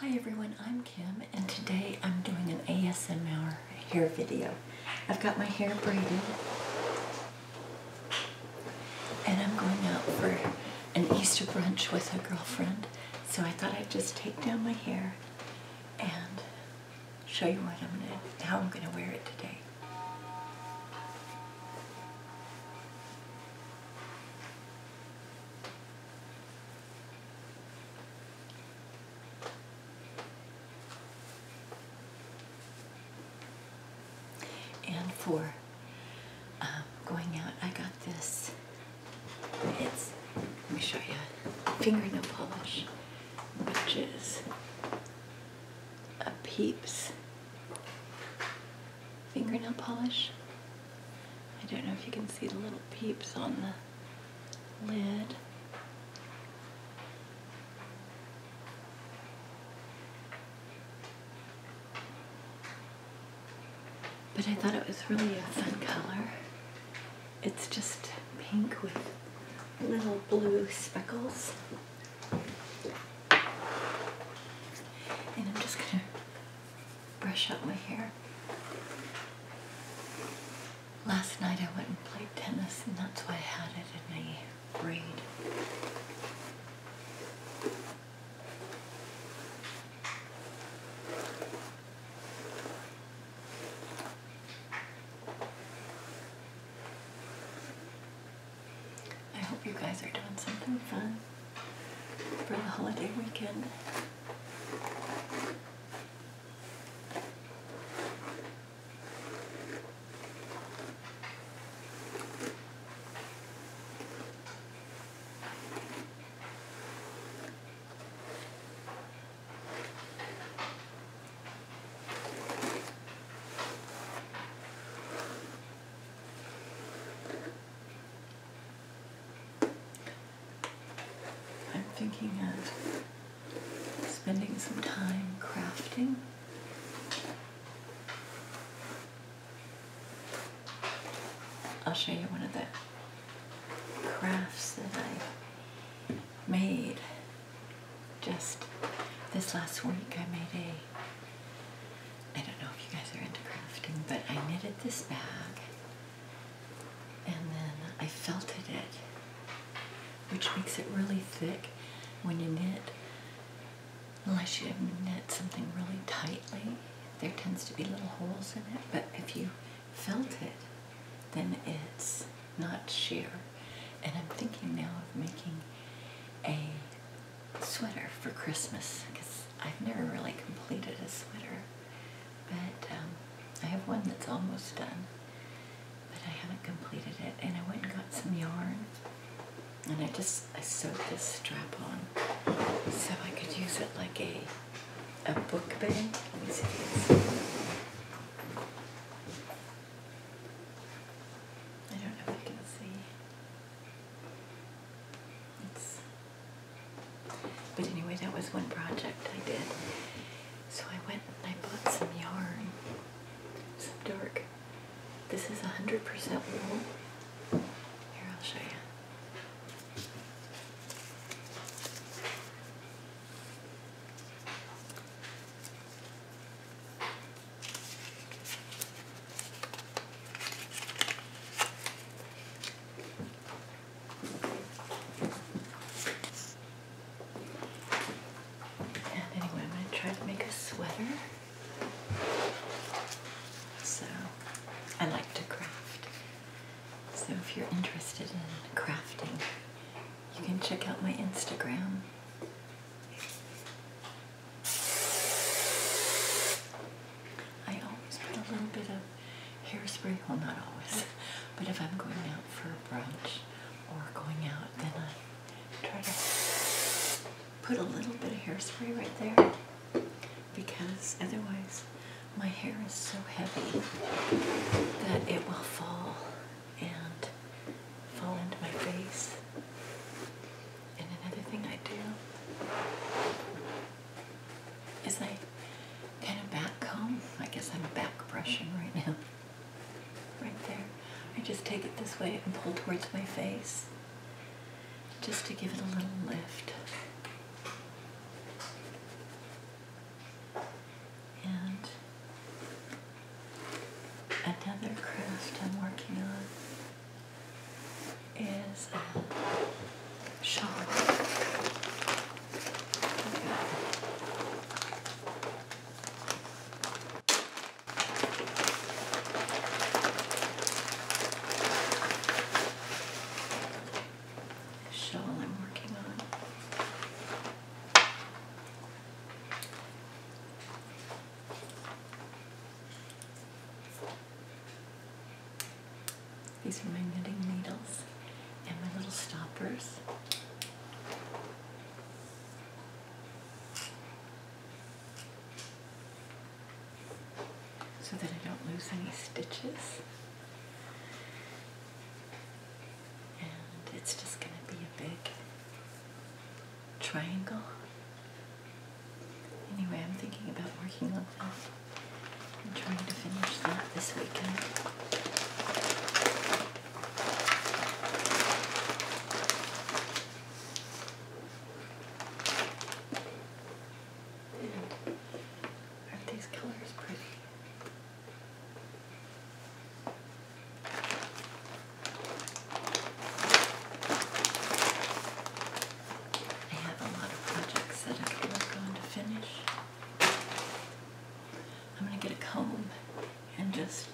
Hi everyone, I'm Kim and today I'm doing an ASMR hair video. I've got my hair braided and I'm going out for an Easter brunch with a girlfriend. So I thought I'd just take down my hair and show you what I'm gonna, how I'm gonna wear it today. And for um, going out, I got this. It's, let me show you, fingernail polish, which is a Peeps fingernail polish. I don't know if you can see the little peeps on the lid. But I thought it was really a fun color. It's just pink with little blue speckles. And I'm just going to brush out my hair. Last night I went and played tennis and that's why I had it in a braid. I hope you guys are doing something fun for the holiday weekend. I'm thinking of spending some time crafting. I'll show you one of the crafts that I made just this last week I made a I don't know if you guys are into crafting but I knitted this bag and then I felted it which makes it really thick when you knit unless you knit something really tightly there tends to be little holes in it but if you felt it then it's not sheer and I'm thinking now of making a sweater for Christmas because I've never really completed a sweater. But um, I have one that's almost done, but I haven't completed it. And I went and got some yarn, and I just I sewed this strap on so I could use it like a a book bag. Let me see. I don't know if you can see. but anyway, that was one project I did. So I went and I bought some yarn, some dark. This is 100% wool. Here, I'll show you anyway, I'm going to try to make a sweater. So I like to craft. So if you're interested in crafting, you can check out my Instagram. I always put a little bit of hairspray, well not always, but if I'm going out for a brunch or going out, then I try to put a little bit of hairspray right there because otherwise my hair is so heavy that it will fall and fall into my face. And another thing I do is I kind of back comb. I guess I'm back brushing right now. Right there. I just take it this way and pull towards my face just to give it a little lift. And another craft I'm working on is a shawl. Shawl I'm working on. These are my knitting needles and my little stoppers. So that I don't lose any stitches. And it's just going to be a big triangle. Anyway, I'm thinking about working on that. I'm trying to finish that this weekend. are these colors pretty? I have a lot of projects that I can work to finish. I'm going to get a comb and just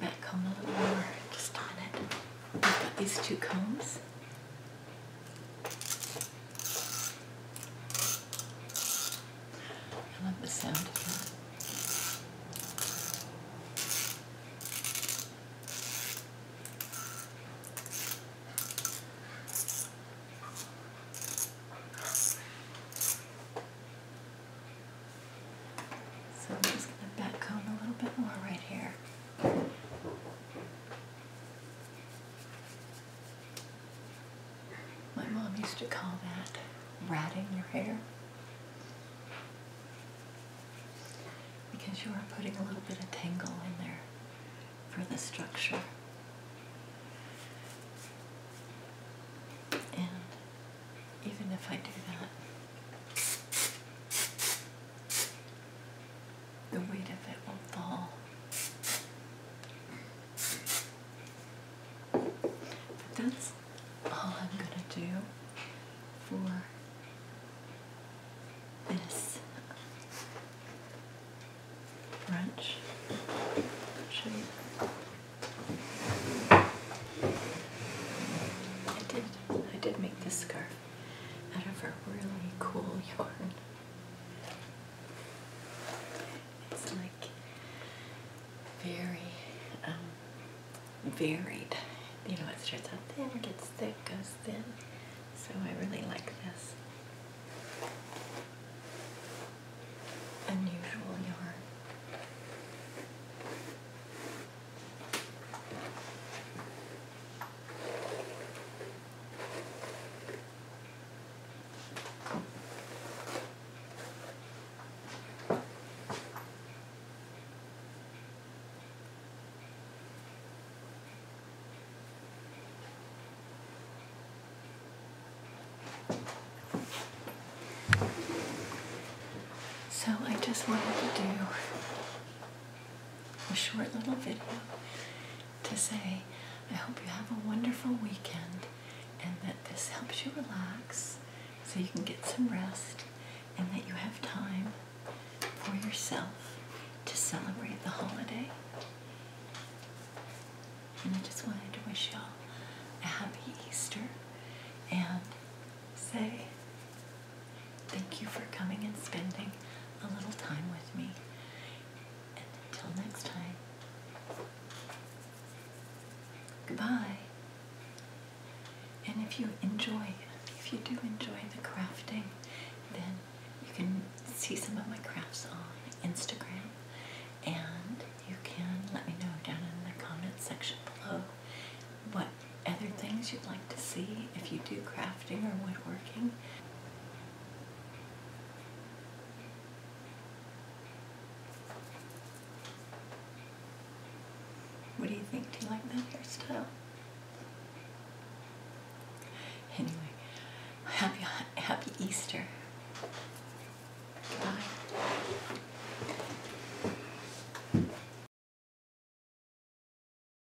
back comb a little more just on it. I've got these two combs. I love the sound of that. So I'm just going to backcomb a little bit more right here. My mom used to call that ratting your hair because you are putting a little bit of tangle in there for the structure. And even if I do that, the weight of it will not fall. But that's all I'm going to do for this brunch shape. I did. I did make this scarf out of a really cool yarn. It's like very um, varied. You know, it starts out thin, gets thick, goes thin. So I really like this. Unusual yarn. So I just wanted to do a short little video to say, I hope you have a wonderful weekend and that this helps you relax so you can get some rest and that you have time for yourself to celebrate the holiday. And I just wanted to wish y'all a happy Easter and say, Thank you for coming and spending a little time with me. And until next time, goodbye. And if you enjoy, if you do enjoy the crafting, then you can see some of my crafts on Instagram. And you can let me know down in the comment section below what other things you'd like to see if you do crafting or woodworking. What do you think? Do you like that hairstyle? Anyway, happy happy Easter. Bye.